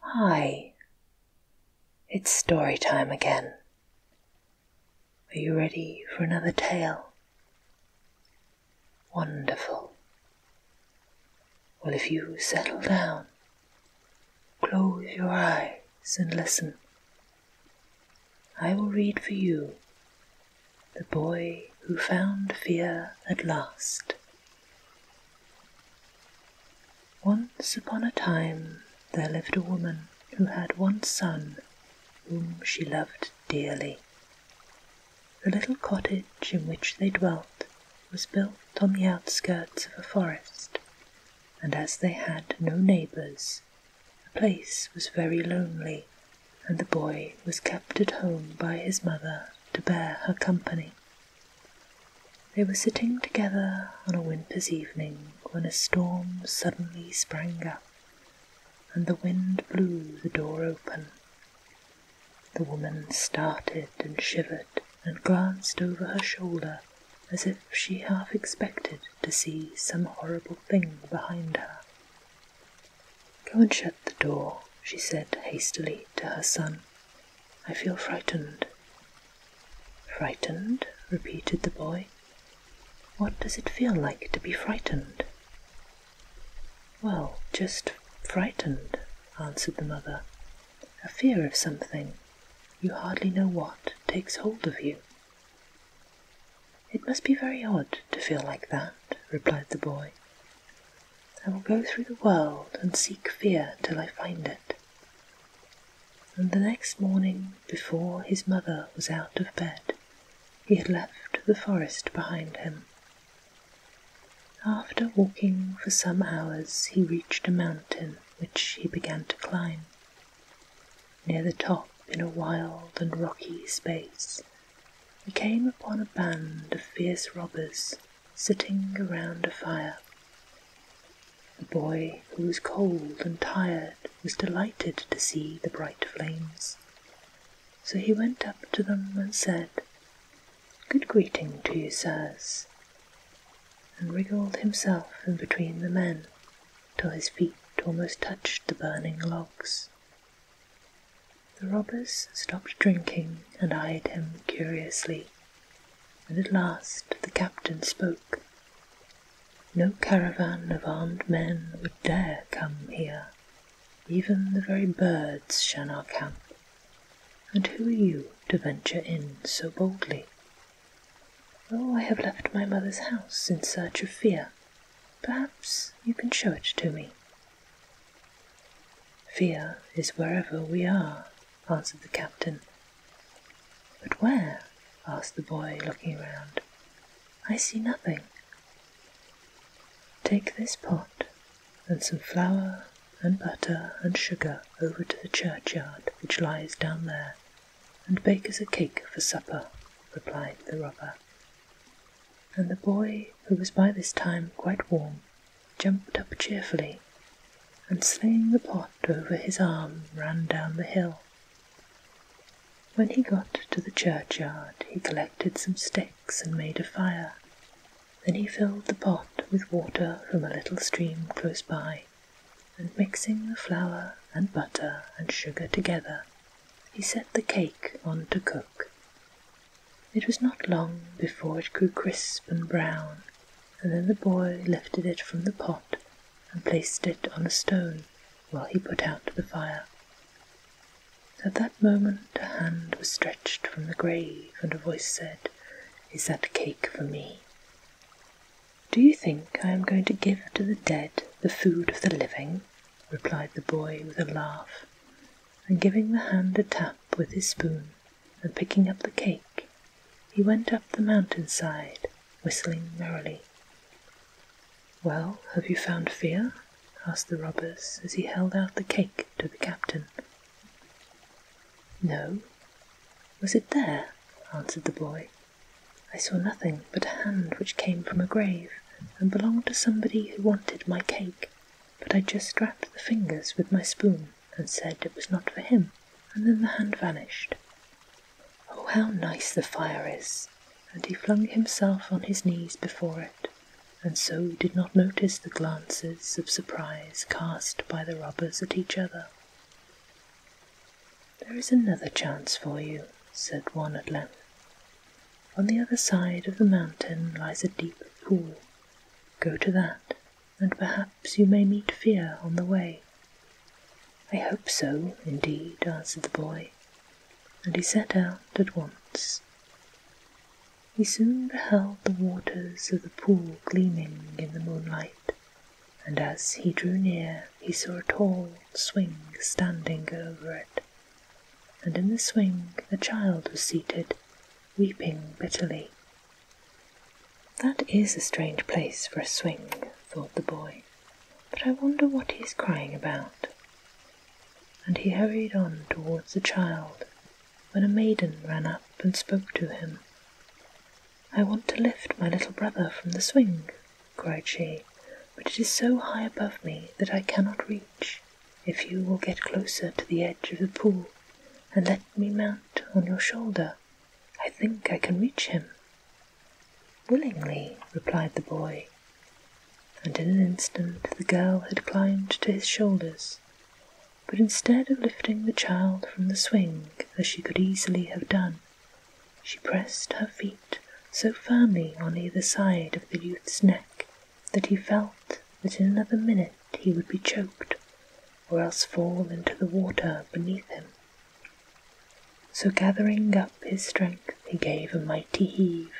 Hi, it's story time again. Are you ready for another tale? Wonderful. Well, if you settle down, close your eyes and listen, I will read for you The Boy Who Found Fear at Last once upon a time there lived a woman who had one son whom she loved dearly. The little cottage in which they dwelt was built on the outskirts of a forest, and as they had no neighbours, the place was very lonely, and the boy was kept at home by his mother to bear her company. They were sitting together on a winter's evening when a storm suddenly sprang up, and the wind blew the door open. The woman started and shivered and glanced over her shoulder as if she half expected to see some horrible thing behind her. Go and shut the door, she said hastily to her son. I feel frightened. Frightened? repeated the boy. What does it feel like to be frightened? Well, just frightened, answered the mother. A fear of something, you hardly know what, takes hold of you. It must be very odd to feel like that, replied the boy. I will go through the world and seek fear till I find it. And the next morning, before his mother was out of bed, he had left the forest behind him. After walking for some hours, he reached a mountain which he began to climb. Near the top, in a wild and rocky space, he came upon a band of fierce robbers sitting around a fire. a boy, who was cold and tired, was delighted to see the bright flames. So he went up to them and said, Good greeting to you, sirs, and wriggled himself in between the men till his feet almost touched the burning logs. The robbers stopped drinking and eyed him curiously, and at last the captain spoke. No caravan of armed men would dare come here. Even the very birds shun our camp. And who are you to venture in so boldly? Oh, I have left my mother's house in search of fear. Perhaps you can show it to me, Fear is wherever we are, answered the captain. But where? asked the boy, looking round. I see nothing. Take this pot and some flour and butter and sugar over to the churchyard which lies down there, and bake us a cake for supper, replied the robber and the boy, who was by this time quite warm, jumped up cheerfully, and slinging the pot over his arm, ran down the hill. When he got to the churchyard, he collected some sticks and made a fire. Then he filled the pot with water from a little stream close by, and mixing the flour and butter and sugar together, he set the cake on to cook. It was not long before it grew crisp and brown, and then the boy lifted it from the pot and placed it on a stone while he put out the fire. At that moment a hand was stretched from the grave, and a voice said, Is that cake for me? Do you think I am going to give to the dead the food of the living? replied the boy with a laugh and giving the hand a tap with his spoon and picking up the cake, he went up the mountain side, whistling merrily. Well, have you found fear? asked the robbers as he held out the cake to the captain. No. Was it there? answered the boy. I saw nothing but a hand which came from a grave and belonged to somebody who wanted my cake, but I just wrapped the fingers with my spoon and said it was not for him, and then the hand vanished. Oh, how nice the fire is! And he flung himself on his knees before it, and so did not notice the glances of surprise cast by the robbers at each other. There is another chance for you, said one at length. On the other side of the mountain lies a deep pool. Go to that, and perhaps you may meet fear on the way. I hope so, indeed, answered the boy, and he set out at once. He soon beheld the waters of the pool gleaming in the moonlight, and as he drew near he saw a tall swing standing over it and in the swing a child was seated, weeping bitterly. That is a strange place for a swing, thought the boy, but I wonder what he is crying about. And he hurried on towards the child when a maiden ran up and spoke to him. I want to lift my little brother from the swing, cried she, but it is so high above me that I cannot reach if you will get closer to the edge of the pool and let me mount on your shoulder, I think I can reach him. Willingly, replied the boy, and in an instant the girl had climbed to his shoulders. But instead of lifting the child from the swing, as she could easily have done, she pressed her feet so firmly on either side of the youth's neck that he felt that in another minute he would be choked, or else fall into the water beneath him. So gathering up his strength, he gave a mighty heave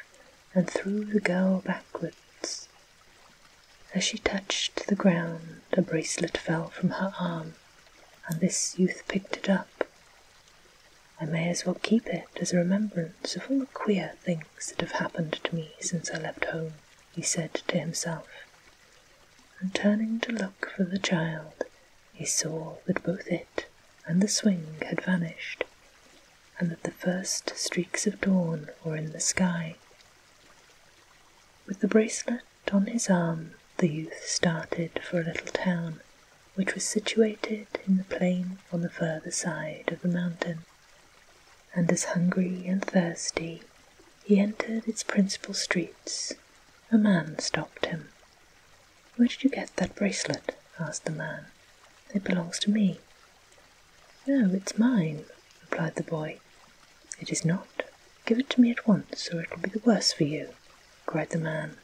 and threw the girl backwards. As she touched the ground, a bracelet fell from her arm, and this youth picked it up. I may as well keep it as a remembrance of all the queer things that have happened to me since I left home, he said to himself. And turning to look for the child, he saw that both it and the swing had vanished, and that the first streaks of dawn were in the sky. With the bracelet on his arm, the youth started for a little town which was situated in the plain on the further side of the mountain, and as hungry and thirsty he entered its principal streets, a man stopped him. Where did you get that bracelet? asked the man. It belongs to me. No, it's mine, replied the boy. It is not. Give it to me at once, or it will be the worse for you, cried the man.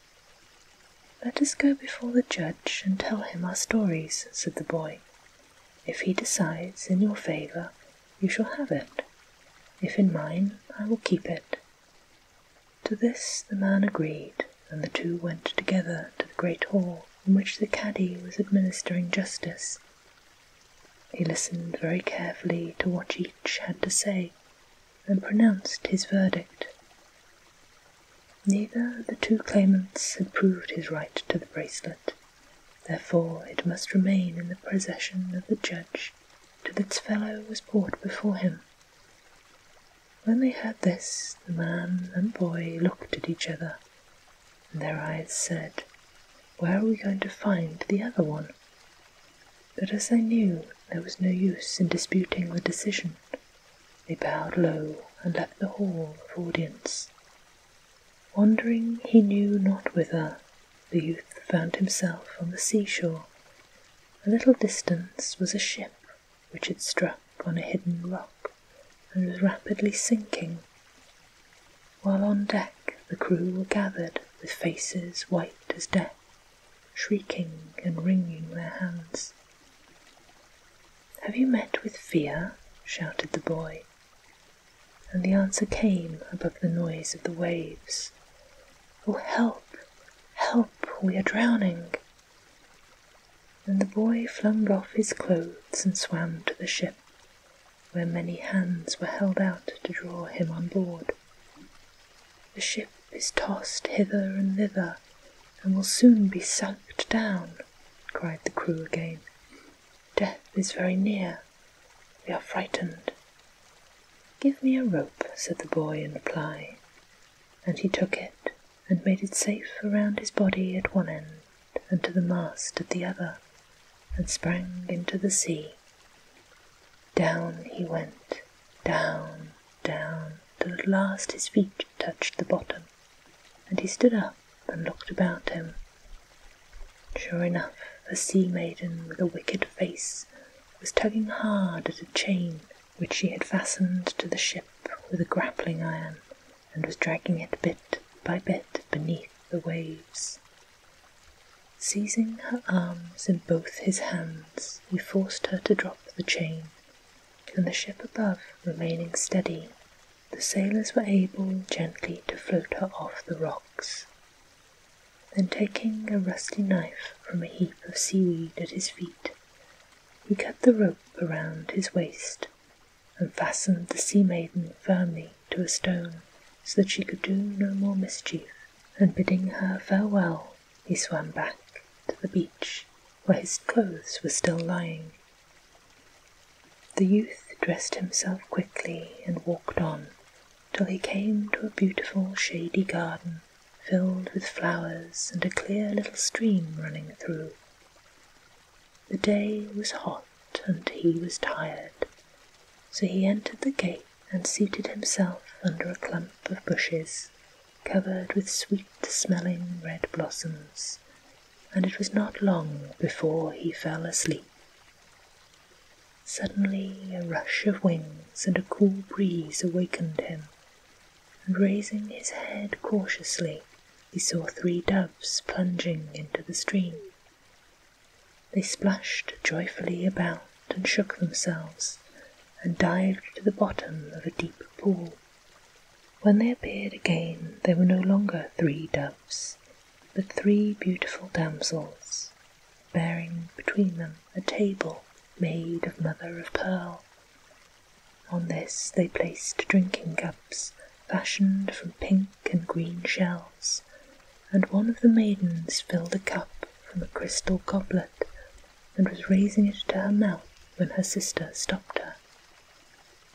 Let us go before the judge and tell him our stories, said the boy. If he decides in your favour, you shall have it. If in mine, I will keep it. To this the man agreed, and the two went together to the great hall in which the caddy was administering justice. He listened very carefully to what each had to say, and pronounced his verdict. Neither of the two claimants had proved his right to the bracelet, therefore it must remain in the possession of the judge till its fellow was brought before him. When they heard this, the man and boy looked at each other, and their eyes said, Where are we going to find the other one? But as they knew there was no use in disputing the decision, they bowed low and left the hall of audience. Wandering he knew not whither, the youth found himself on the seashore. A little distance was a ship which had struck on a hidden rock and was rapidly sinking, while on deck the crew were gathered with faces white as death shrieking and wringing their hands. Have you met with fear? shouted the boy, and the answer came above the noise of the waves. Oh, help! Help! We are drowning! And the boy flung off his clothes and swam to the ship, where many hands were held out to draw him on board. The ship is tossed hither and thither, and will soon be sunk down, cried the crew again. Death is very near. We are frightened. Give me a rope, said the boy in reply, and he took it and made it safe around his body at one end and to the mast at the other, and sprang into the sea. Down he went, down, down, till at last his feet touched the bottom, and he stood up and looked about him. Sure enough, a sea maiden with a wicked face was tugging hard at a chain which she had fastened to the ship with a grappling iron, and was dragging it bit by bit beneath the waves. Seizing her arms in both his hands, this he forced her to drop the chain, and the ship above remaining steady, the sailors were able gently to float her off the rocks. Then taking a rusty knife from a heap of seaweed at his feet, he cut the rope around his waist and fastened the sea maiden firmly to a stone so that she could do no more mischief, and bidding her farewell, he swam back to the beach where his clothes were still lying. The youth dressed himself quickly and walked on till he came to a beautiful shady garden filled with flowers and a clear little stream running through. The day was hot and he was tired, so he entered the gate and seated himself under a clump of bushes covered with sweet-smelling red blossoms, and it was not long before he fell asleep. Suddenly a rush of wings and a cool breeze awakened him, and raising his head cautiously, he saw three doves plunging into the stream. They splashed joyfully about and shook themselves, and dived to the bottom of a deep pool. When they appeared again, they were no longer three doves, but three beautiful damsels, bearing between them a table made of mother of pearl. On this they placed drinking cups fashioned from pink and green shells, and one of the maidens filled a cup from a crystal goblet and was raising it to her mouth when her sister stopped her.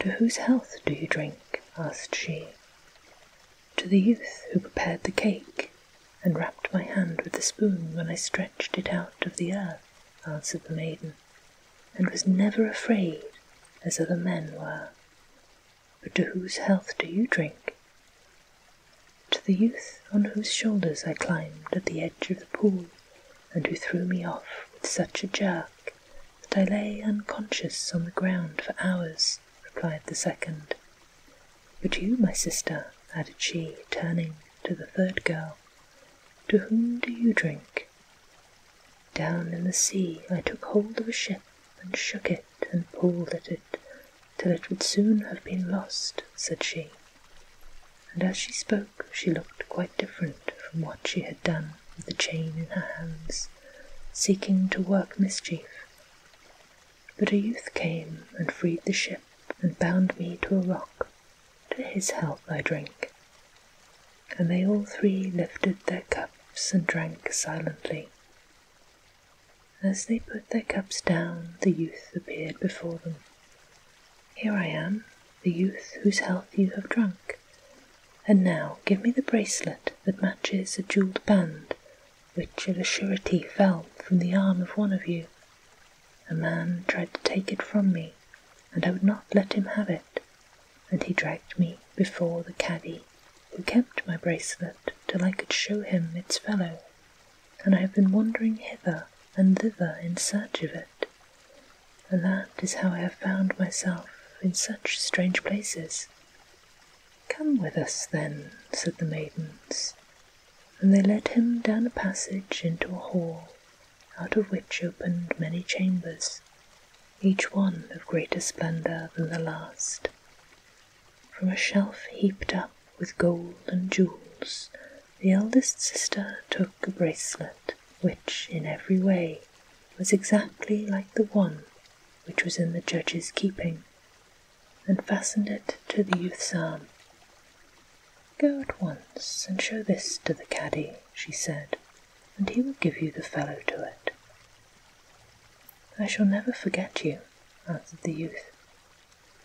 To whose health do you drink? asked she. To the youth who prepared the cake and wrapped my hand with the spoon when I stretched it out of the earth, answered the maiden, and was never afraid as other men were. But to whose health do you drink? to the youth on whose shoulders I climbed at the edge of the pool, and who threw me off with such a jerk that I lay unconscious on the ground for hours, replied the second. But you, my sister, added she, turning to the third girl, to whom do you drink? Down in the sea I took hold of a ship and shook it and pulled at it till it would soon have been lost, said she. And as she spoke, she looked quite different from what she had done with the chain in her hands, seeking to work mischief. But a youth came and freed the ship and bound me to a rock. To his health I drank. And they all three lifted their cups and drank silently. As they put their cups down, the youth appeared before them. Here I am, the youth whose health you have drunk. And now give me the bracelet that matches a jewelled band, which of a surety fell from the arm of one of you. A man tried to take it from me, and I would not let him have it, and he dragged me before the caddy, who kept my bracelet till I could show him its fellow and I have been wandering hither and thither in search of it, and that is how I have found myself in such strange places. Come with us, then, said the maidens, and they led him down a passage into a hall, out of which opened many chambers, each one of greater splendour than the last. From a shelf heaped up with gold and jewels, the eldest sister took a bracelet which, in every way, was exactly like the one which was in the judge's keeping, and fastened it to the youth's arm. Go at once and show this to the caddy, she said, and he will give you the fellow to it. I shall never forget you, answered the youth,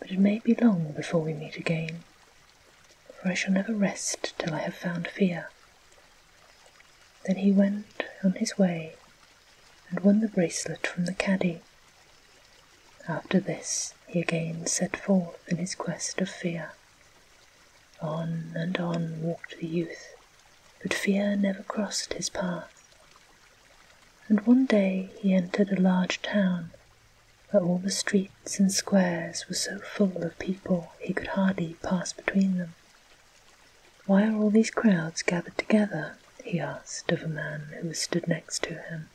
but it may be long before we meet again, for I shall never rest till I have found fear. Then he went on his way and won the bracelet from the caddy. After this he again set forth in his quest of fear. On and on walked the youth, but fear never crossed his path. And one day he entered a large town where all the streets and squares were so full of people he could hardly pass between them. Why are all these crowds gathered together? he asked of a man who stood next to him.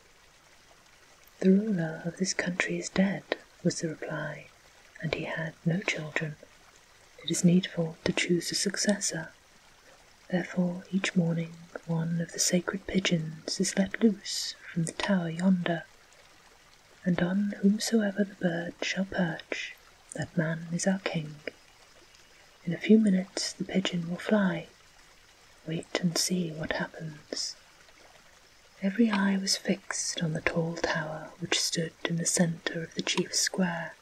The ruler of this country is dead, was the reply, and he had no children. It is needful to choose a successor. Therefore, each morning one of the sacred pigeons is let loose from the tower yonder, and on whomsoever the bird shall perch, that man is our king. In a few minutes the pigeon will fly. Wait and see what happens. Every eye was fixed on the tall tower which stood in the centre of the chief square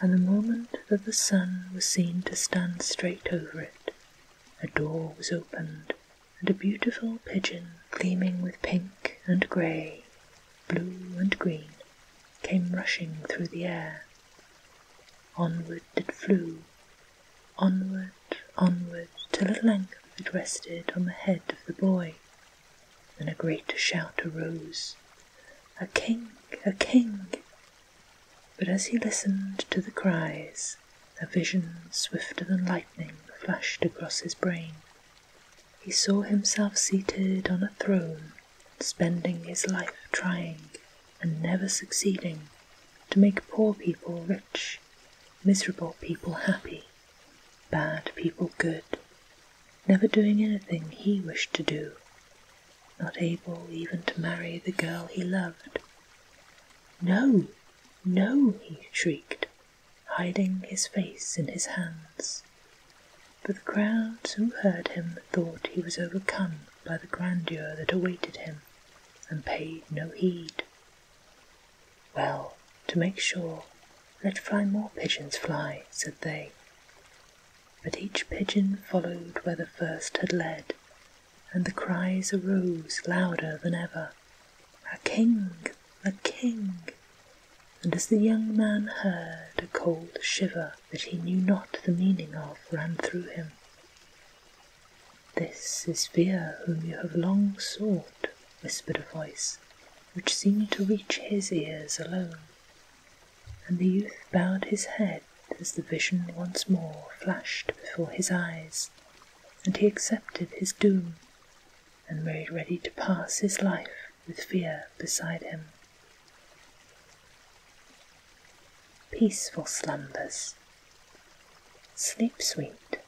and the moment that the sun was seen to stand straight over it, a door was opened, and a beautiful pigeon, gleaming with pink and grey, blue and green, came rushing through the air. Onward it flew, onward, onward, till at length it rested on the head of the boy. Then a great shout arose, a king! A king! But as he listened to the cries, a vision swifter than lightning flashed across his brain. He saw himself seated on a throne, spending his life trying, and never succeeding, to make poor people rich, miserable people happy, bad people good never doing anything he wished to do, not able even to marry the girl he loved. No, no, he shrieked, hiding his face in his hands. But the crowds who heard him thought he was overcome by the grandeur that awaited him, and paid no heed. Well, to make sure, let fly more pigeons fly, said they. But each pigeon followed where the first had led, and the cries arose louder than ever, A king! a king! And as the young man heard, a cold shiver that he knew not the meaning of ran through him. This is Fear whom you have long sought, whispered a voice, which seemed to reach his ears alone and the youth bowed his head as the vision once more flashed before his eyes, and he accepted his doom, and made ready to pass his life with fear beside him. Peaceful slumbers. Sleep sweet.